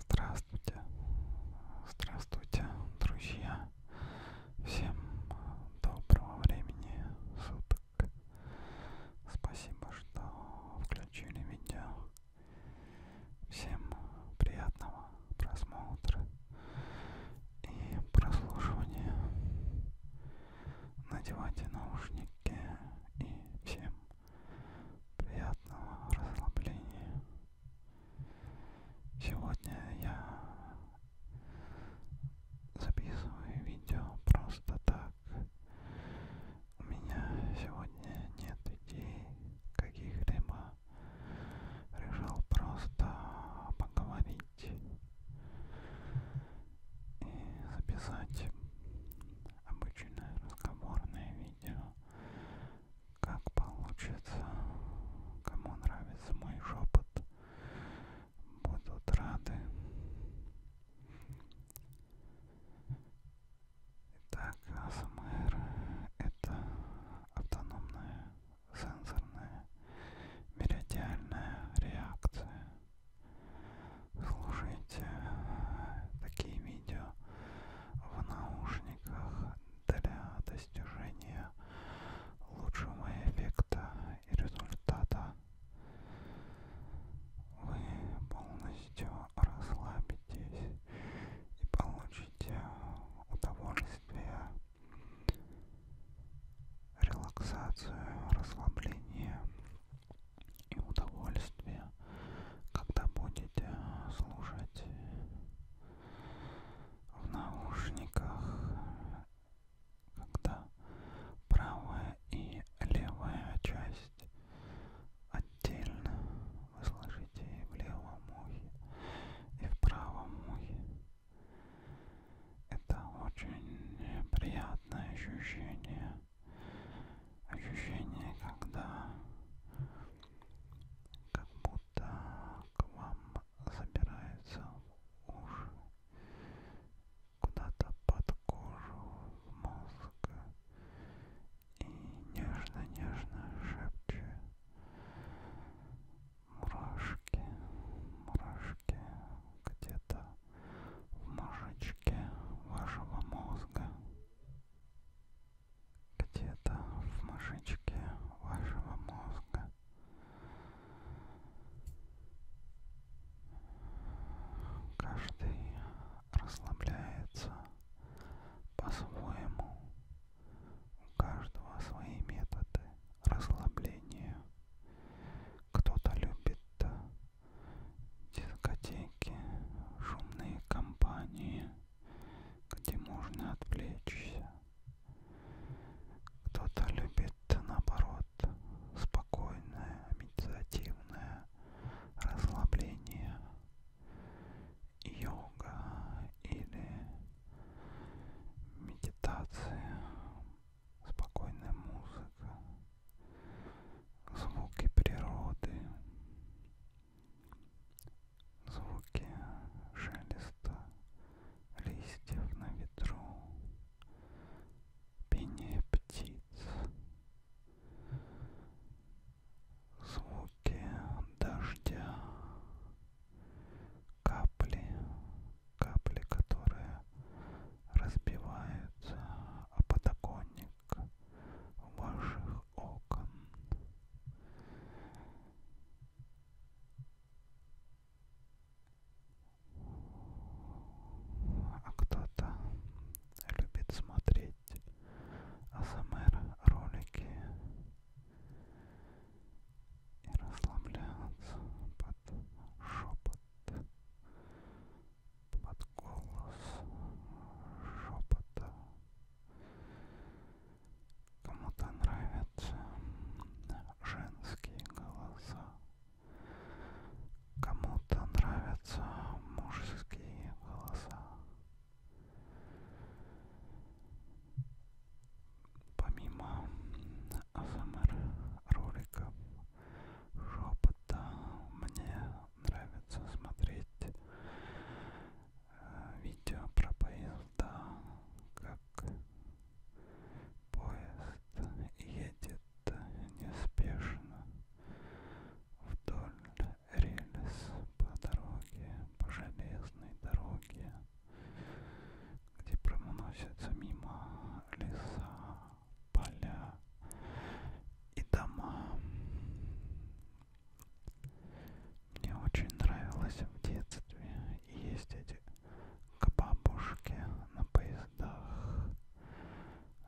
Здравствуйте, здравствуйте, друзья! Всем доброго времени суток! Спасибо, что включили видео. Всем приятного просмотра и прослушивания. Надевайте наушники и всем приятного расслабления. Сегодня я записываю видео просто так. У меня сегодня нет идей каких-либо. Решил просто поговорить и записать обычное разговорное видео как получится, кому нравится мой шепот, будут рады. Итак, АСМР это автономная сенсорная меридиальная реакция слушайте э, такие видео в наушниках для достижения лучшего эффекта и результата. Вы полностью расслабитесь и получите удовольствие, релаксацию, расслабление и удовольствие, когда будете э, слушать в наушниках, когда правая и левая часть отдельно вы слышите и в левом ухе, и в правом ухе. Это очень приятное ощущение ощущение, когда как будто к вам забирается уши, куда-то под кожу, в мозг и нежно-нежно шепчет мурашки, мурашки где-то в мозжечке вашего мозга. Где-то в мозжечке вашего мозга. Каждый расслабляется по-своему. У каждого свои методы расслабления. Кто-то любит дискотеки, шумные компании, где можно отвлечься. Кто-то любит, наоборот, спокойное, медитативное расслабление, йога или медитация, спокойная музыка звуки природы, звуки шелеста листьев на ветру, пение птиц, звуки дождя, капли, капли, которые разбивается о подоконник ваших окон. А кто-то любит смотреть АСМР ролики и расслабляться под шепот под голос шепота. Кому-то нравятся женские голоса, кому-то нравятся мужские голоса. Помимо АСМР эм роликов шепота мне нравится смотреть э, видео про поезда, как поезд едет неспешно вдоль рельс по дороге, по железной дороге, где проносятся мимо леса, поля и дома. Мне очень нравилось в детстве ездить к бабушке на поездах,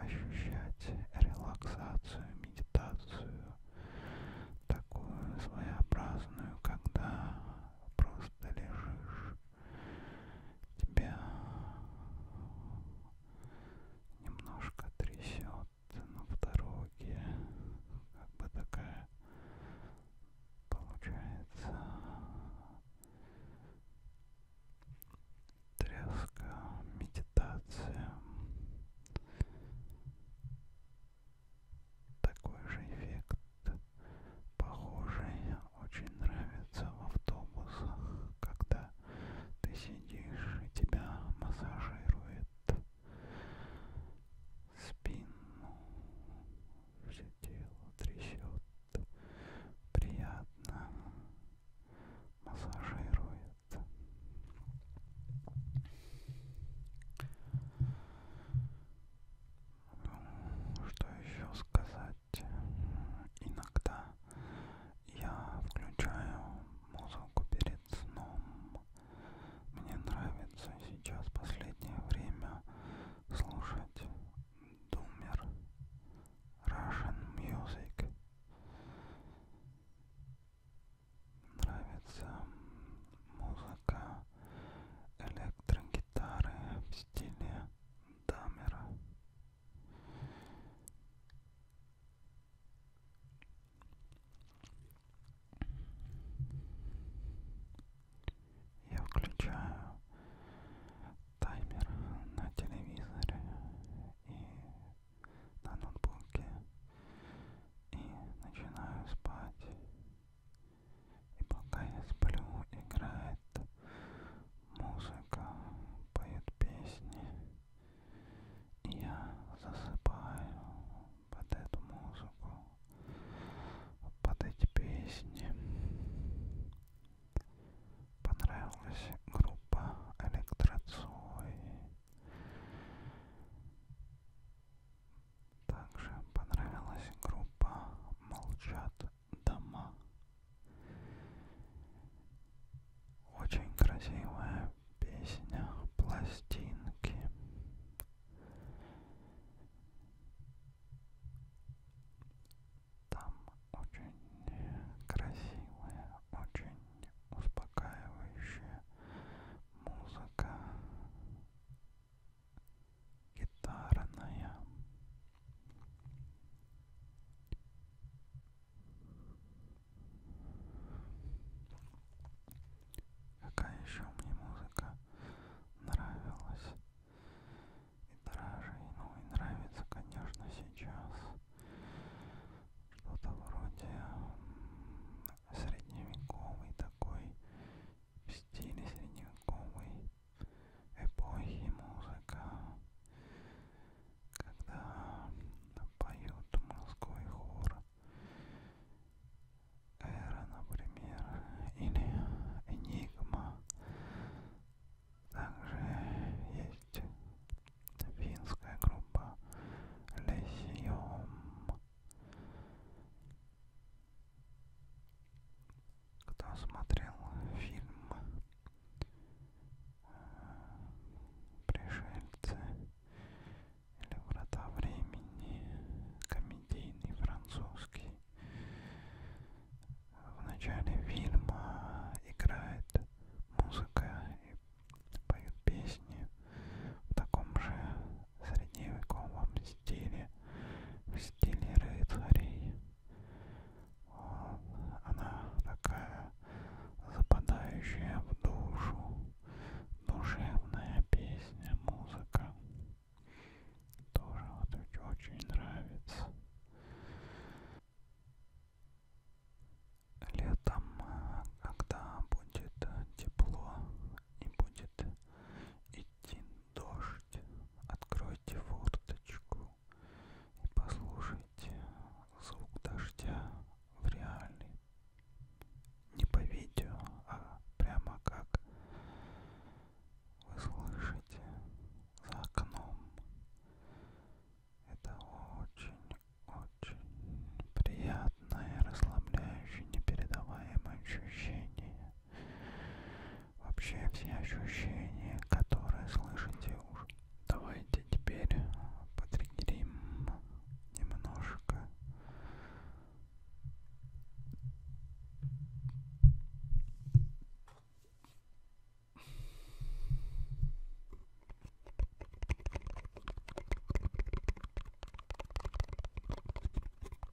ощущать релаксацию, медитацию, такую своеобразную, когда просто лежишь тебя немножко трясет но в дороге как бы такая получается тряска медитация такой же эффект Похожее очень нравится в автобусах, когда ты сидишь и тебя массажирует спину, все тело трясет, приятно массажирует. Что еще сказать? делать. Иногда я включаю музыку перед сном. Мне нравится сейчас последнее время слушать Думер Russian Music. Нравится музыка электрогитары в стиле Дамера. Я включаю таймер на телевизоре и на ноутбуке и начинаю спать. И пока я сплю, играет музыка, поет песни. И я засыпаю под эту музыку, под эти песни. Понравилась группа Электроцой. Также понравилась группа Молчат дома. Очень красивая песня пластинки. Там очень красивая, очень успокаивающая музыка гитарная Какая еще мне музыка нравилась и даже, ну и нравится, конечно, сейчас что-то вроде средневековый такой в стиле средневековый эпохи музыка, когда поют морской хор, эра, например, или энигма. Также есть финская группа Лесиом. Кто смотрел фильм э, «Пришельцы» или «Врата времени», комедийный французский, в начале фильма играет музыка и поют песни в таком же в средневековом стиле, в стиле рыцарей. Вот. Она такая западающая в душу, душевная песня, музыка. Тоже вот очень нравится. Летом, а, когда будет тепло и будет идти дождь. Откройте форточку и послушайте звук дождя в реале. Не по видео, а прямо как вы слышите за окном. Это очень-очень приятно приятное, расслабляющее, непередаваемое ощущение. Вообще все ощущения, которые слышите уже. Давайте теперь потриггерим немножко.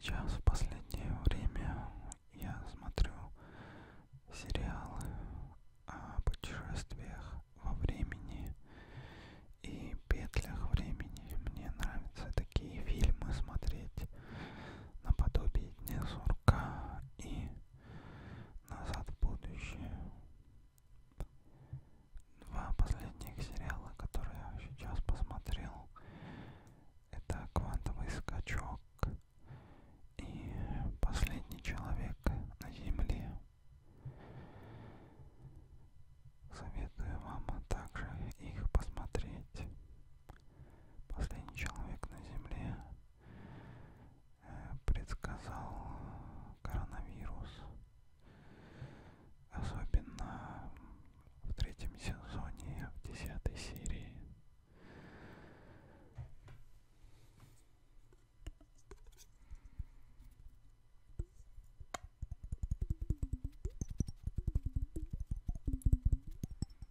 Сейчас в последнее время я смотрю сериалы о путешествиях во времени и петлях времени. Мне нравятся такие фильмы смотреть наподобие Дня Сурка и Назад в будущее. Два последних сериала, которые я сейчас посмотрел, это «Квантовый скачок» и «Последний человек на Земле». Советую вам также их посмотреть последний человек на Земле э, предсказал коронавирус. Особенно в третьем сезоне, в десятой серии.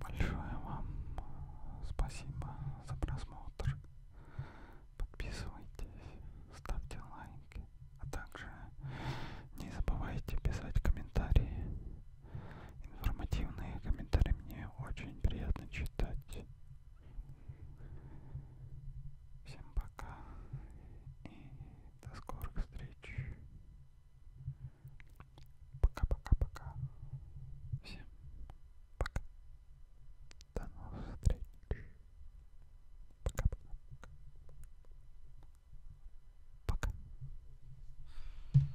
Большое вам спасибо за просмотр. Подписывайтесь, ставьте лайки, а также не забывайте писать комментарии информативные комментарии мне очень приятно читать. Всем пока и до скорых встреч. Пока-пока-пока. Всем пока. До новых встреч. Пока-пока. Пока.